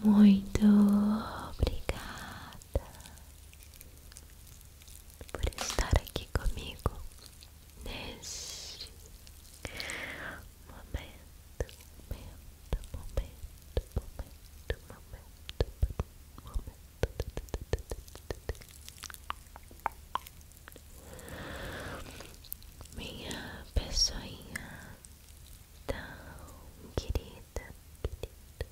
Muito obrigada por estar aqui comigo neste momento, momento, momento, momento, momento, momento. Minha pessoinha tão querida, querida,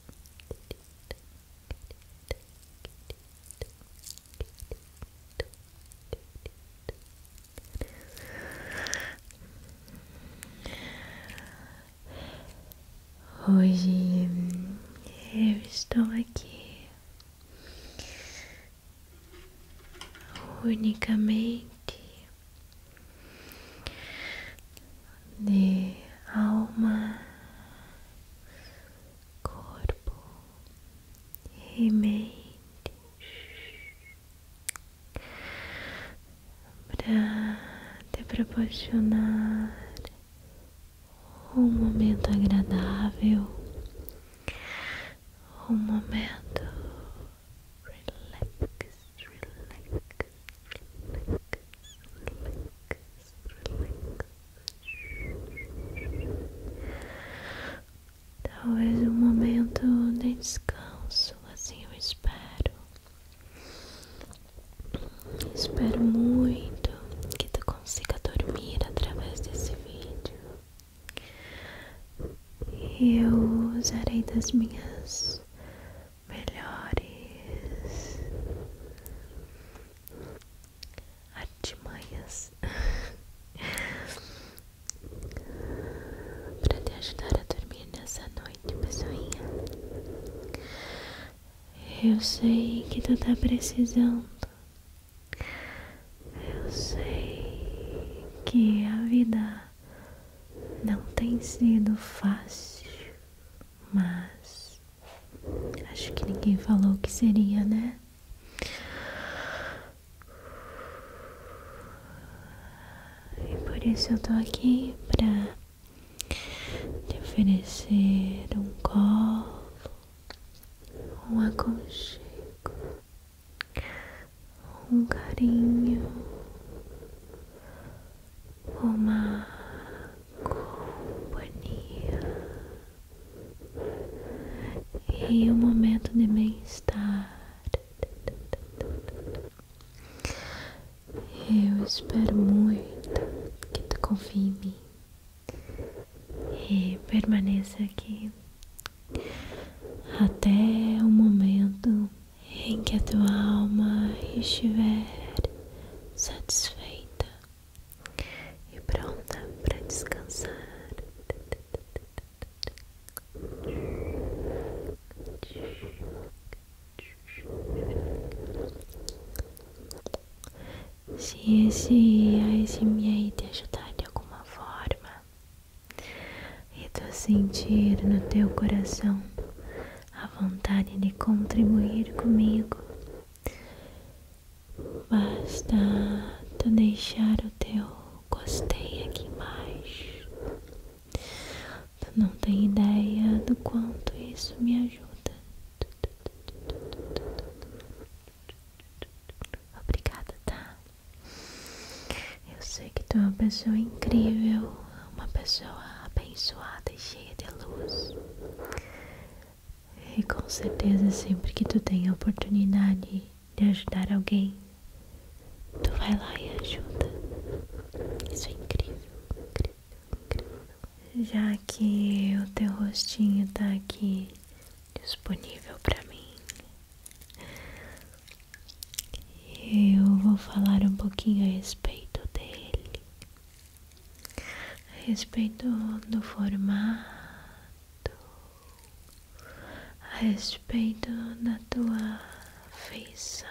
Hoje eu estou aqui unicamente de alma, corpo e mente para te proporcionar um momento agradável, um momento relax, relax, relax, relax, relax. Talvez um momento de descanso, assim eu espero. Espero muito que tu consiga dormir através desse vídeo. Eu usarei das minhas melhores artimanhas para te ajudar a dormir nessa noite, pessoinha. Eu sei que tu tá precisando. Eu sei que a vida não tem sido fácil, mas acho que ninguém falou que seria, né? E por isso eu tô aqui pra te oferecer um colo, um aconchego um carinho, uma companhia e um momento de bem-estar. Eu espero muito que tu confie em mim e permaneça aqui até o momento em que a tua alma estiver satisfeita e pronta para descansar. Se esse a ASMR te ajudar de alguma forma, e tu sentir no teu coração a vontade de contribuir comigo. Basta tu deixar o teu gostei aqui embaixo. Tu não tem ideia do quanto isso me ajuda. Obrigada, tá? Eu sei que tu é uma pessoa incrível, uma pessoa abençoada e cheia de luz. E com certeza, sempre que tu tem a oportunidade de ajudar alguém, tu vai lá e ajuda. Isso é incrível, incrível, incrível. Já que o teu rostinho tá aqui disponível para mim, eu vou falar um pouquinho a respeito dele, a respeito do formato, a respeito da tua feição,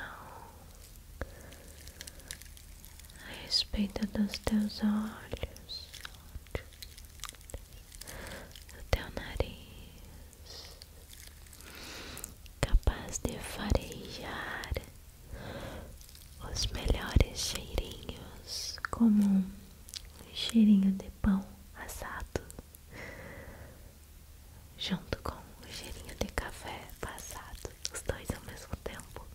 a respeito dos teus olhos, do teu nariz, capaz de farejar os melhores cheirinhos, como um cheirinho de pão assado, junto com o cheirinho de café passado, os dois ao mesmo tempo.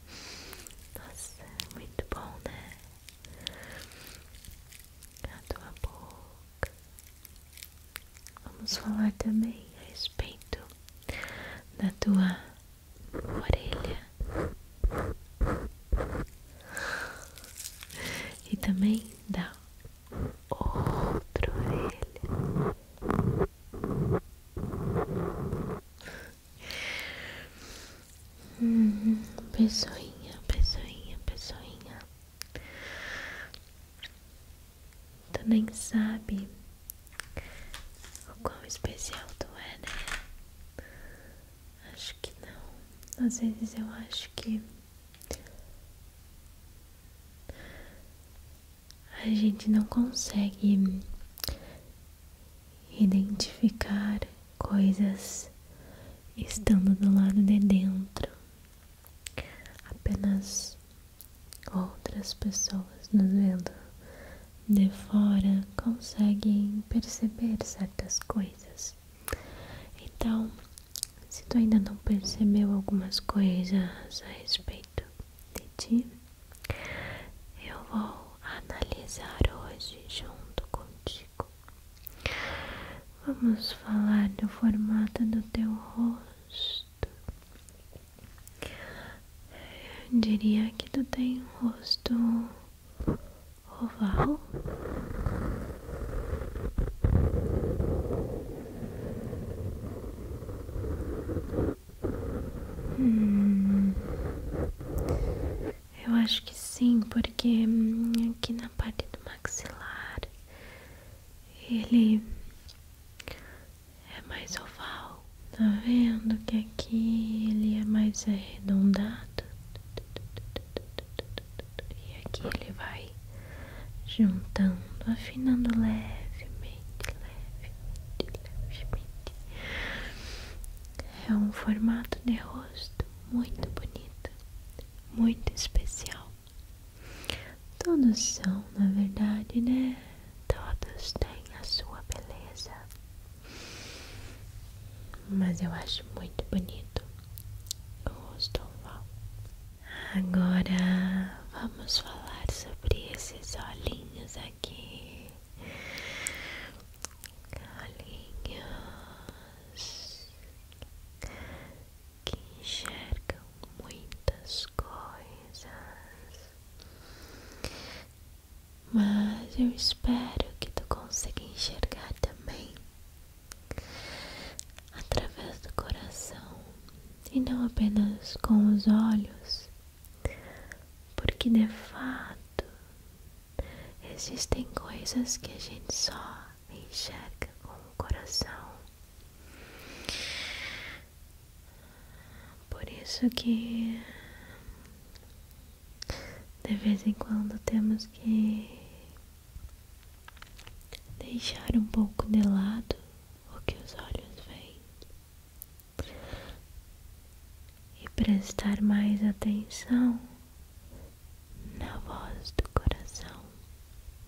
Nossa, é muito bom, né? A tua boca, Vamos falar também a respeito da tua orelha e também da outra orelha. Hum, pessoinha, pessoinha, pessoinha tu nem sabe o quão especial tu é, né? Acho que não. Às vezes eu acho que a gente não consegue identificar coisas estando do lado de dentro. Apenas Outras pessoas nos vendo de fora conseguem perceber certas coisas. Então, se tu ainda não percebeu algumas coisas a respeito de ti, eu vou analisar hoje junto contigo. Vamos falar do formato do teu rosto. Eu diria que tu tem um rosto oval. Hum. eu acho que sim, porque hum, aqui na parte do maxilar ele é mais oval. Tá vendo que aqui ele é mais arredondado? E aqui ele vai juntando, afinando levemente, levemente, levemente. É um formato de rosto muito bonito, muito especial. Todos são, na verdade, né? Todos têm a sua beleza. Mas eu acho muito bonito o rosto oval. Agora vamos falar sobre esses olhinhos aqui. Olhinhos que enxergam muitas coisas. Mas eu espero que tu consiga enxergar também através do coração e não apenas com os olhos, porque de fato existem coisas que a gente só enxerga com o coração. Por isso que de vez em quando temos que deixar um pouco de lado o que os olhos veem e prestar mais atenção na voz do coração,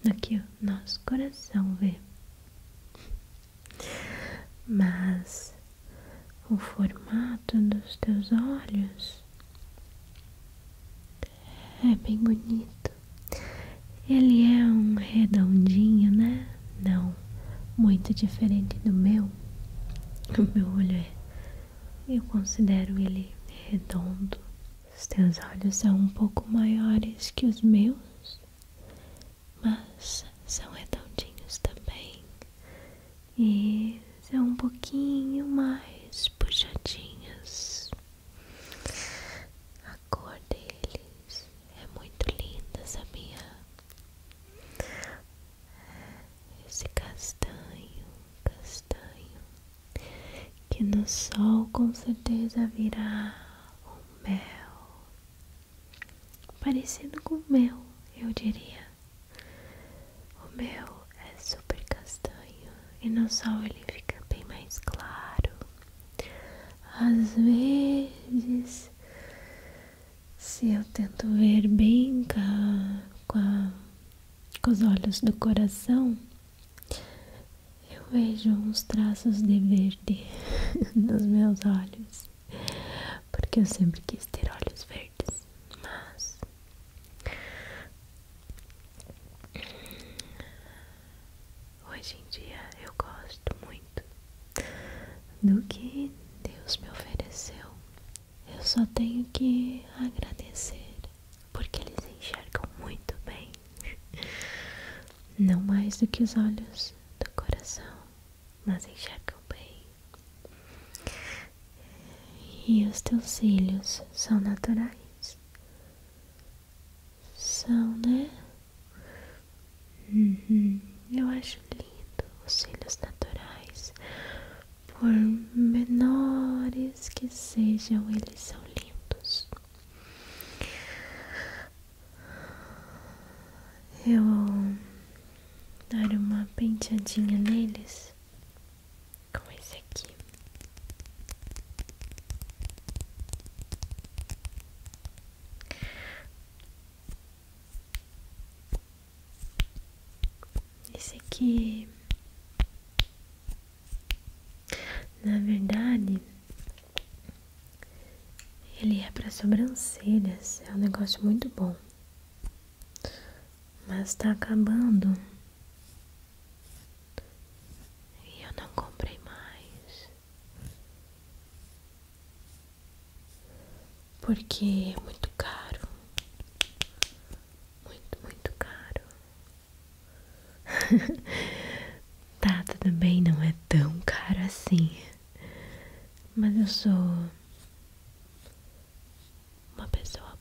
no que o nosso coração vê mas o formato dos teus olhos é bem bonito. Ele é um redondinho, né? Não, muito diferente do meu. O meu olho é, eu considero ele redondo. Os teus olhos são um pouco maiores que os meus, mas são redondinhos também e são um pouquinho mais puxadinhos. A cor deles é muito linda, sabia? Esse castanho, castanho, que no sol com certeza virá um mel parecido com o meu, eu diria. O meu é super castanho e no sol ele fica bem mais claro. Às vezes, se eu tento ver bem com, com os olhos do coração, eu vejo uns traços de verde nos meus olhos porque eu sempre quis ter olhos verdes, mas hoje em dia eu gosto muito do que Deus me ofereceu. Eu só tenho que agradecer, porque eles enxergam muito bem. Não mais do que os olhos do coração, mas enxergam bem. E os teus cílios são naturais? São, né? Uhum. Eu acho lindo os cílios naturais. Por menores que sejam, eles são lindos eu dar uma penteadinha neles com esse aqui. Esse aqui, na verdade, ele é para sobrancelhas, é um negócio muito bom. Mas tá acabando. E eu não comprei mais. Porque é muito caro. Muito, muito caro. tá, tudo bem, não é tão caro assim. Mas eu sou uma pessoa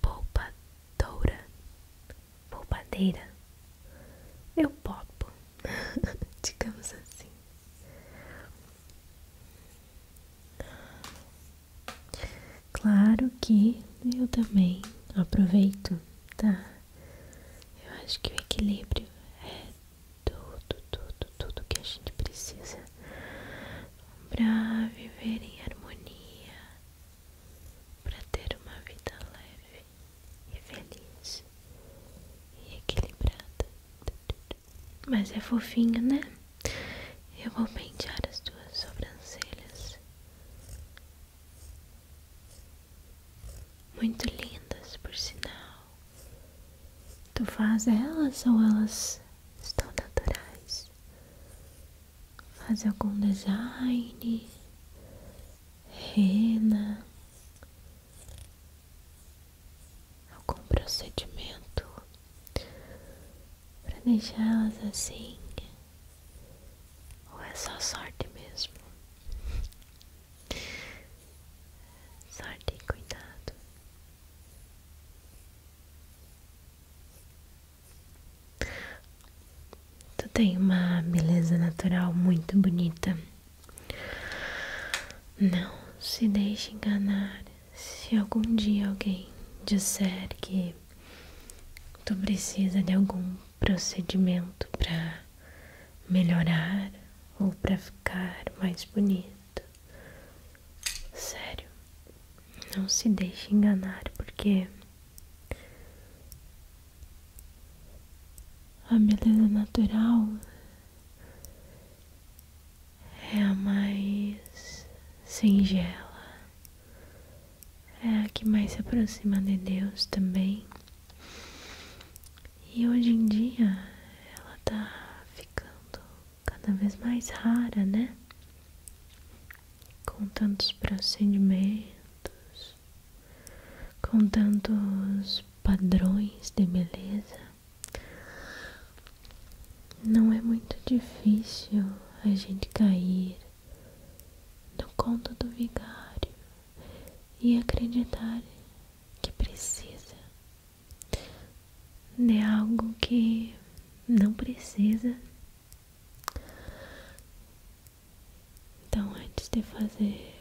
poupadora, poupadeira. Eu popo, digamos assim. Claro que eu também aproveito, tá? Eu acho que o equilíbrio é tudo, tudo, tudo que a gente precisa para viver em harmonia, para ter uma vida leve e feliz e equilibrada. Mas é fofinho, né? Eu vou pentear as tuas sobrancelhas. Muito lindas, por sinal. Tu faz elas ou elas estão naturais? Faz algum design? Rena? Algum procedimento para deixá-las assim? Ou é só sorte mesmo? Sorte e cuidado. Tu tem uma beleza natural muito bonita. Não se deixe enganar. Se algum dia alguém disser que tu precisa de algum procedimento para melhorar ou para ficar mais bonito. Sério, não se deixe enganar porque a beleza natural é a mais singela, é a que mais se aproxima de Deus também. E hoje em dia ela tá ficando cada vez mais rara, né? Com tantos procedimentos, com tantos padrões de beleza, não é muito difícil a gente cair no conto do vigário e acreditar que precisa de né, algo que não precisa. Então, antes de fazer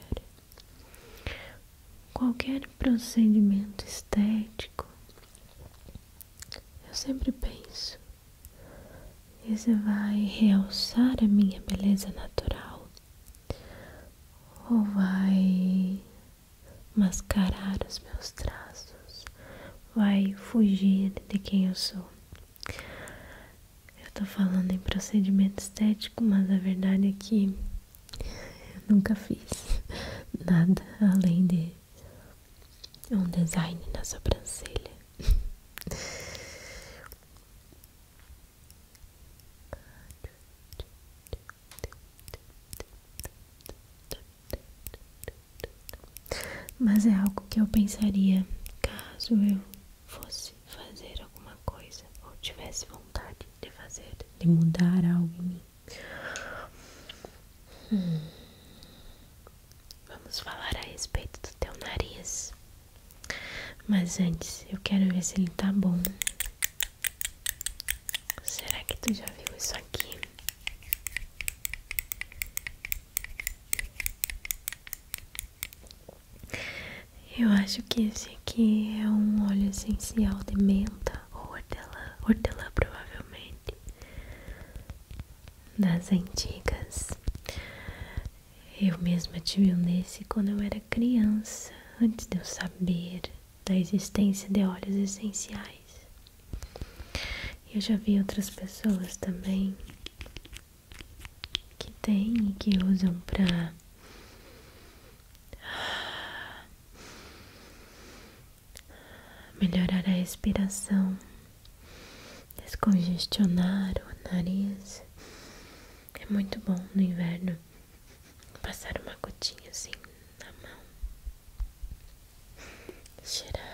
qualquer procedimento estético, eu sempre penso: isso vai realçar a minha beleza natural ou vai mascarar os meus traços, vai fugir de quem eu sou. Eu tô falando em procedimento estético, mas a verdade é que eu nunca fiz nada além de um design na sobrancelha. Mas é algo que eu pensaria caso eu fosse fazer alguma coisa ou tivesse vontade de fazer, de mudar algo em mim. Hum. Vamos falar a respeito do teu nariz. Mas antes, eu quero ver se ele tá bom. Será que tu já viu isso aqui? Eu acho que esse aqui é um óleo essencial de menta ou hortelã, hortelã provavelmente, das antigas. Eu mesma tive um desse quando eu era criança, antes de eu saber da existência de óleos essenciais. Eu já vi outras pessoas também que têm e que usam para melhorar a respiração, descongestionar o nariz. É muito bom no inverno passar uma gotinha assim na mão, cheirar. Relaxar.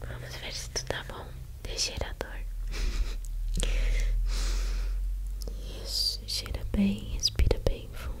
Vamos ver se tudo tá bom. Deixa dor. bem, respira bem fundo.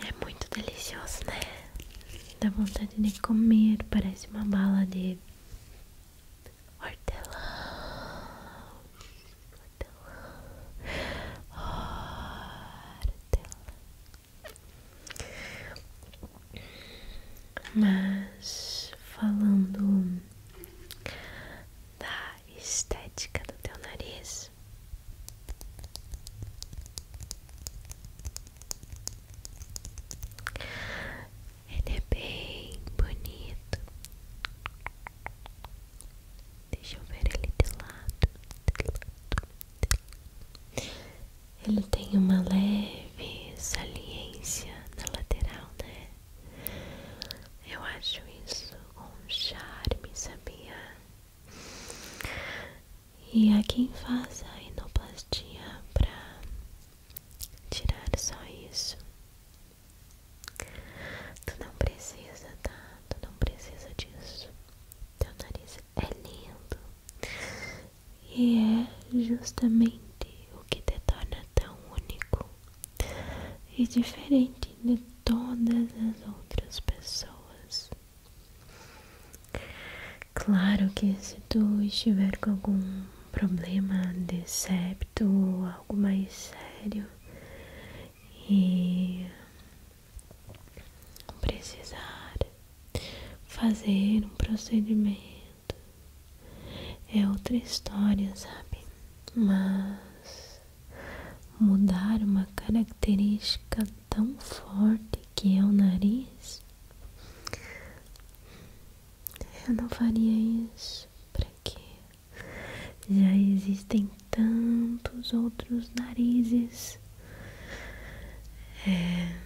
É muito delicioso, né? Dá vontade de comer, parece uma bala de hortelã. Hortelã. Hortelã. Mas falando da estética do teu nariz. Ele é bem bonito. Deixa eu ver ele de lado. Ele tem uma leve saliência na lateral, né? Eu acho isso um charme, sabia? E a quem faz a enoplastia para tirar só isso. Tu não precisa, tá? Tu não precisa disso. Teu nariz é lindo. E é justamente o que te torna tão único e diferente de todas as outras pessoas. Claro que se tu estiver com algum problema de septo ou algo mais sério e precisar fazer um procedimento é outra história, sabe? Mas mudar uma característica tão forte que é o nariz. Eu não faria isso. Pra quê? Já existem tantos outros narizes. É,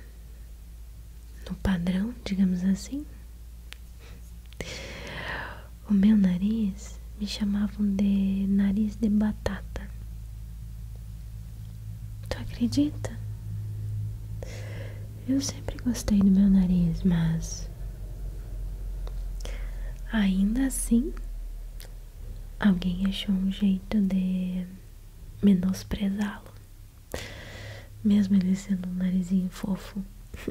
no padrão, digamos assim. O meu nariz me chamavam de nariz de batata. Tu acredita? Eu sempre gostei do meu nariz, mas ainda assim alguém achou um jeito de menosprezá-lo. Mesmo ele sendo um narizinho fofo.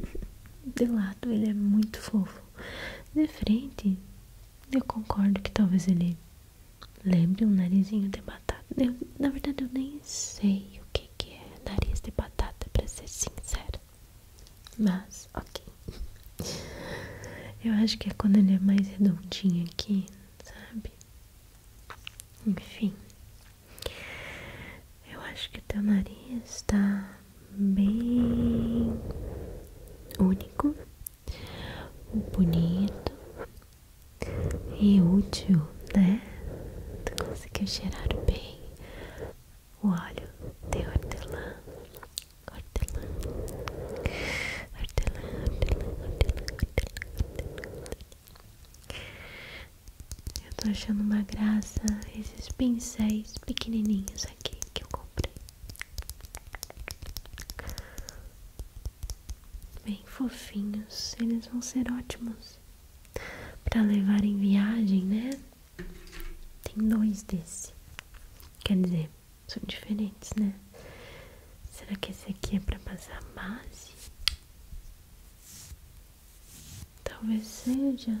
de lado ele é muito fofo. De frente, eu concordo que talvez ele Lembre um narizinho de batata. Eu, na verdade, eu nem sei o que, que é nariz de batata, pra ser sincero. Mas, ok. Eu acho que é quando ele é mais redondinho aqui, sabe? Enfim. Eu acho que o teu nariz tá bem único, bonito e útil, né? Tu conseguiu cheirar bem o óleo de hortelã. Hortelã. Hortelã, hortelã, hortelã, hortelã, hortelã. Eu tô achando uma graça esses pincéis pequenininhos aqui que eu comprei bem fofinhos, eles vão ser ótimos para levar em viagem, né? Tem dois desse, quer dizer, são diferentes, né? Será que esse aqui é para passar base? Talvez seja.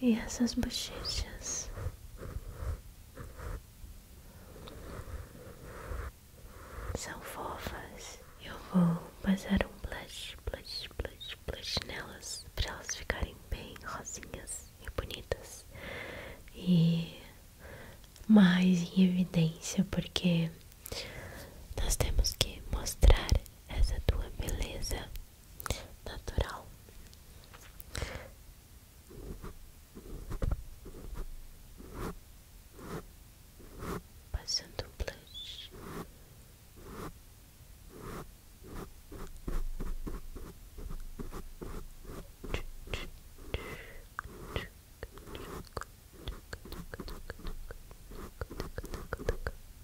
E essas bochechas. São fofas. Eu vou passar um blush, blush, blush, blush nelas para elas ficarem bem rosinhas e bonitas e mais em evidência, porque nós temos que mostrar essa tua beleza natural. Passando um blush.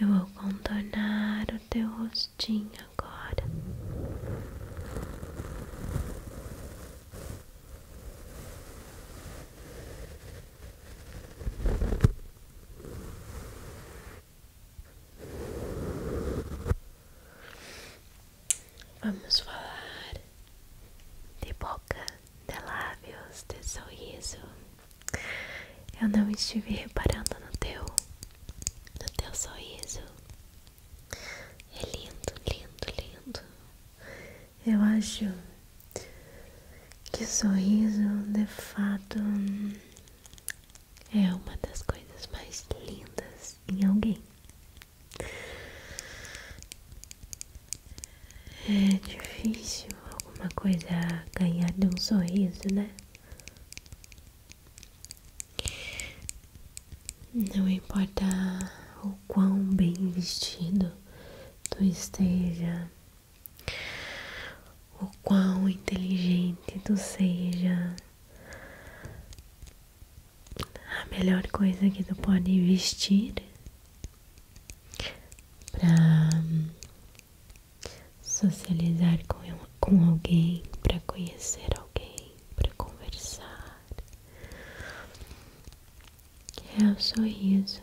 Eu vou contornar o teu rostinho agora. Vamos falar de boa boca, de lábios, de sorriso. Eu não estive reparando no teu, no teu sorriso. É lindo, lindo, lindo. Eu acho que sorriso, de fato, é uma das coisas mais lindas em alguém. É difícil alguma coisa ganhar de um sorriso, né? Não importa o quão bem vestido tu esteja, o quão inteligente tu seja, a melhor coisa que tu pode vestir para hum, socializar com, com alguém, para conhecer alguém, para conversar. É o sorriso.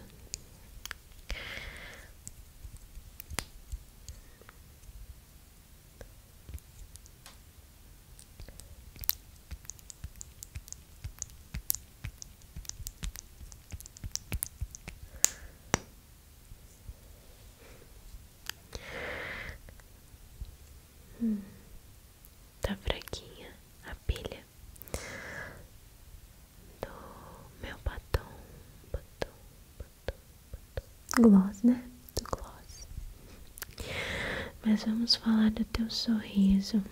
Hum, tá fraquinha a pilha do meu batom, batom, batom, batom. Gloss, né? Do gloss. Mas vamos falar do teu sorriso.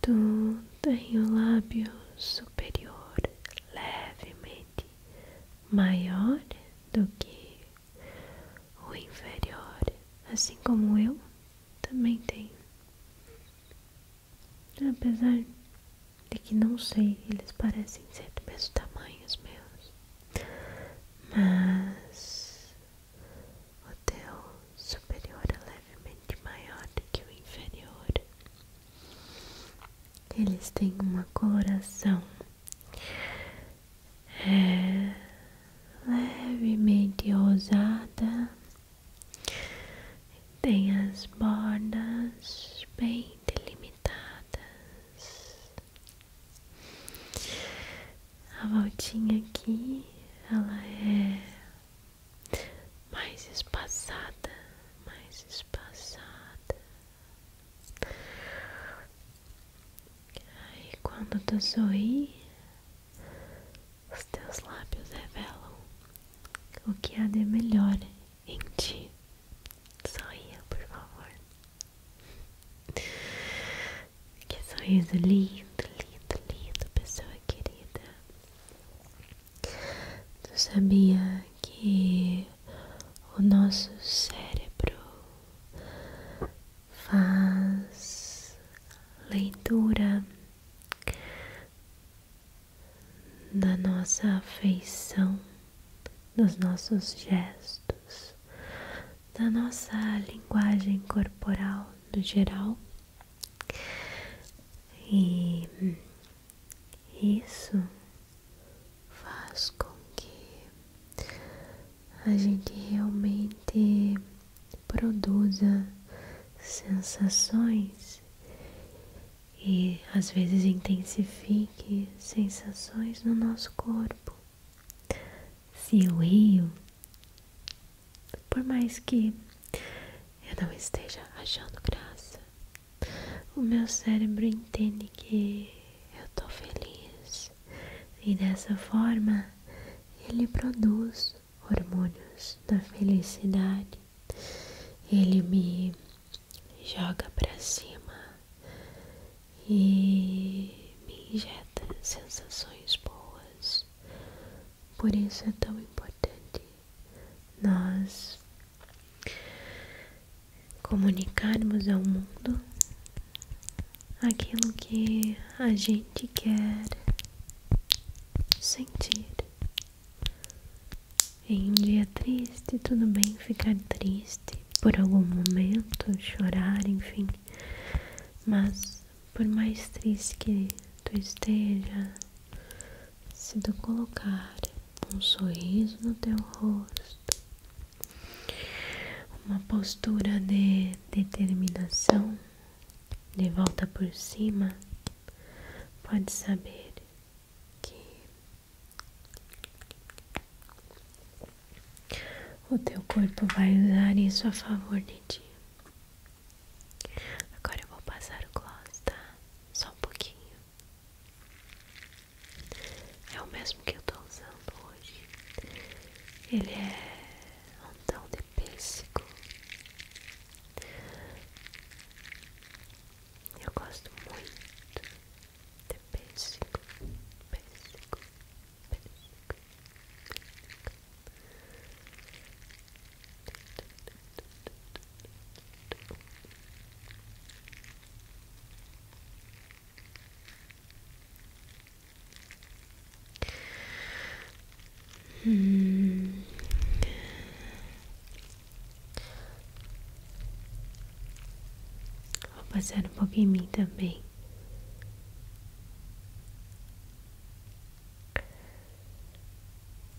Tu tem o lábio superior, levemente maior do que o inferior, assim como eu também tenho. Apesar de que não sei, eles parecem ser do mesmo tamanho os meus, mas o teu superior é levemente maior do que o inferior. Eles têm uma coloração é levemente ousada. Tem as bordas bem delimitadas. A voltinha aqui, ela é mais espaçada, mais espaçada. E quando tu sorri, os teus lábios revelam o que há de melhor em ti. Sorria, por favor. Que sorriso lindo, lindo, lindo, pessoa querida. Tu sabia que o nosso cérebro faz leitura da nossa afeição, dos nossos gestos, da nossa linguagem corporal no geral e isso faz com que a gente realmente produza sensações e às vezes intensifique sensações no nosso corpo. Se eu rio, por mais que eu não esteja achando graça, o meu cérebro entende que eu estou feliz e dessa forma ele produz hormônios da felicidade. Ele me joga para cima e me injeta sensações boas. Por isso é tão importante nós comunicarmos ao mundo aquilo que a gente quer sentir. Em um dia triste, tudo bem ficar triste por algum momento, chorar, enfim, mas por mais triste que tu esteja, se tu colocar um sorriso no teu rosto, uma postura de determinação, de volta por cima, pode saber que o teu corpo vai usar isso a favor de ti. Agora eu vou passar o gloss, tá? Só um pouquinho. É o mesmo que eu tô usando hoje. Ele é um tão de pêssego. Eu gosto muito de pêssego, pêssego, pêssego. Hum. Vou passar um pouco em mim também.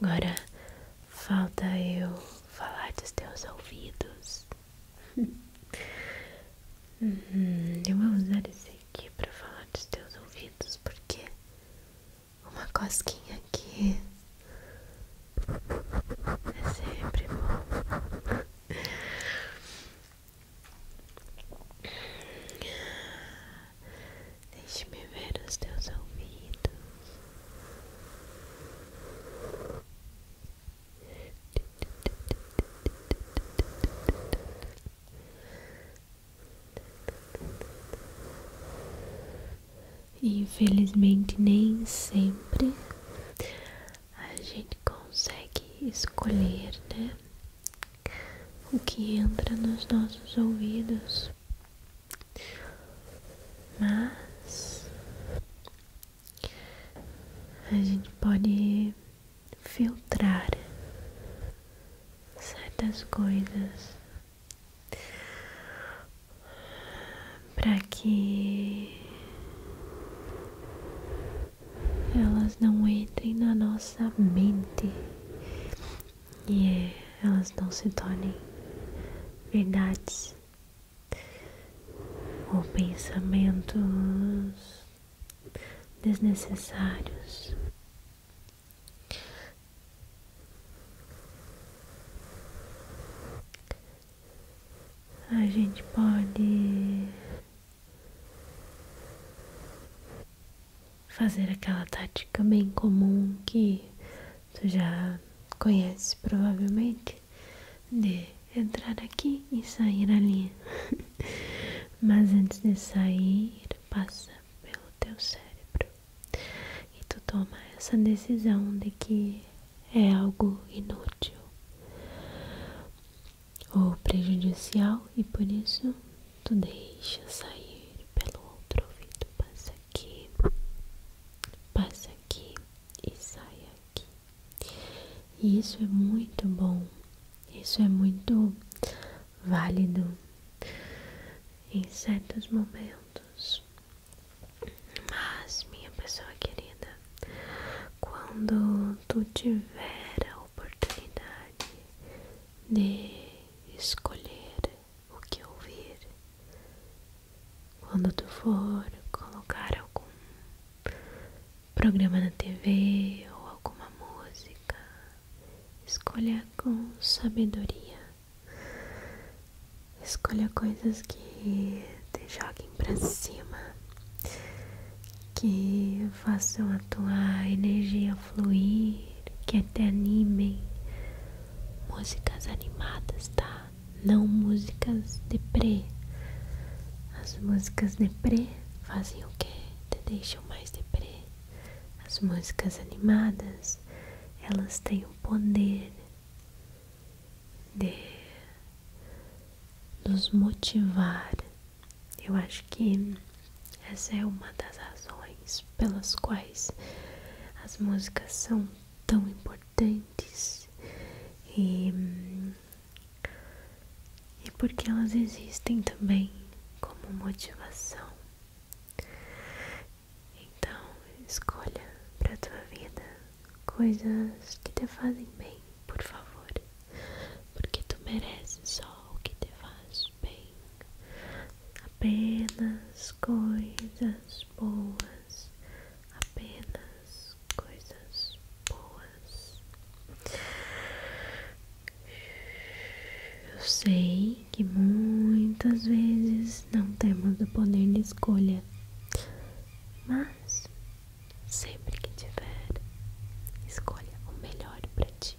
Agora falta eu falar dos teus ouvidos. Uhum, eu vou usar esse aqui para falar dos teus ouvidos, porque uma cosquinha aqui é sempre bom. Deixe-me ver os teus ouvidos. Infelizmente, nem sempre a gente consegue escolher, né? O que entra nos nossos ouvidos. Mas a gente pode filtrar certas coisas para que elas não entrem na nossa mente e elas não se tornem verdades ou pensamentos desnecessários. A gente pode fazer aquela tática bem comum que tu já conhece provavelmente, de entrar aqui e sair ali. Mas antes de sair, passa pelo teu cérebro e tu toma essa decisão de que é algo inútil ou prejudicial e por isso tu deixa sair pelo outro ouvido, passa que passa aqui e sai aqui. E isso é muito bom, isso é muito válido em certos momentos. Mas, minha pessoa querida, quando tu tiver a oportunidade de escolher o que ouvir. Quando tu for colocar algum programa na TV ou alguma música, escolha com sabedoria. Escolha coisas que te joguem para cima, que façam a tua energia fluir, que te animem músicas animadas, tá? Não músicas deprê. As músicas deprê fazem o quê? Te deixam mais deprê. As músicas animadas, elas têm o poder de nos motivar. Eu acho que essa é uma das razões pelas quais as músicas são tão importantes e, e porque elas existem também como motivação. Então, escolha para tua vida coisas que te fazem bem, por favor, porque tu mereces só o que te faz bem apenas coisas boas, apenas coisas boas. Eu sei que muitas vezes não temos o poder de escolha, mas sempre que tiver, escolha o melhor para ti.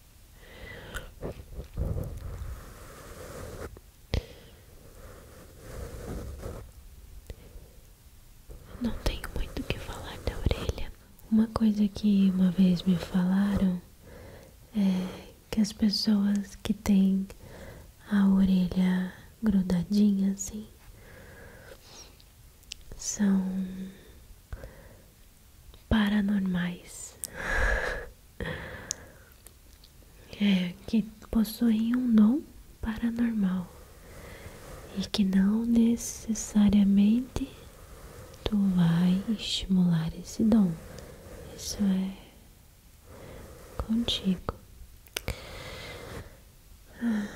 Não tenho muito o que falar da orelha. Uma coisa que uma vez me falaram é que as pessoas que têm a orelha grudadinha assim são paranormais é, que possuem um dom paranormal e que não necessariamente tu vai estimular esse dom. Isso é contigo. Ah.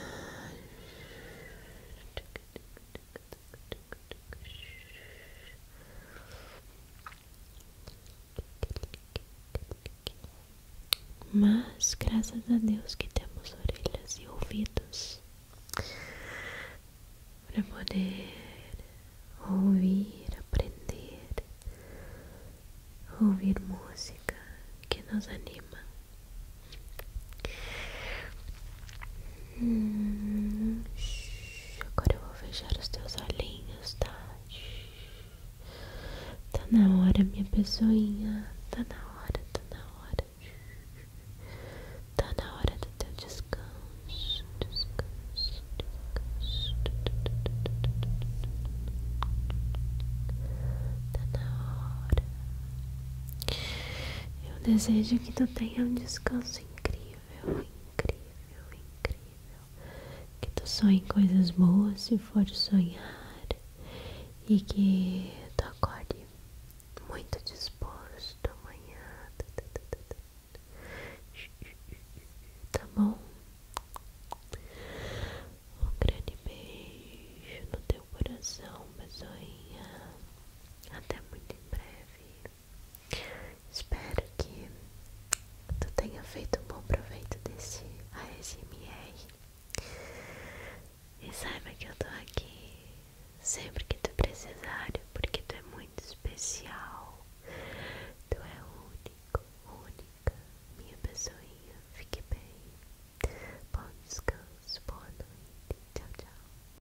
Mas, gracias a dios que tenemos orelhas y ouvidos para poder oír, aprender, oír música que nos anima, Hum, agora eu vou fechar os teus olhinhos, tá? Tá na hora, minha pessoinha. Tá na hora, tá na hora. Tá na hora do teu descanso. Descanso, descanso. Tá na hora. Eu desejo que tu tenha um descanso incrível, incrível, incrível. Que tu sonhe coisas boas se for sonhar e que tu acorde muito disposto amanhã. Tá bom? Um grande beijo no teu coração, pessoinha. Até muito em breve. Espero que tu tenha feito um bom proveito desse ASMR. E saiba que eu tô aqui sempre que tu precisar, porque tu é muito especial. Tu é único, única, minha pessoinha. Fique bem. Bom descanso, boa noite. Tchau, tchau.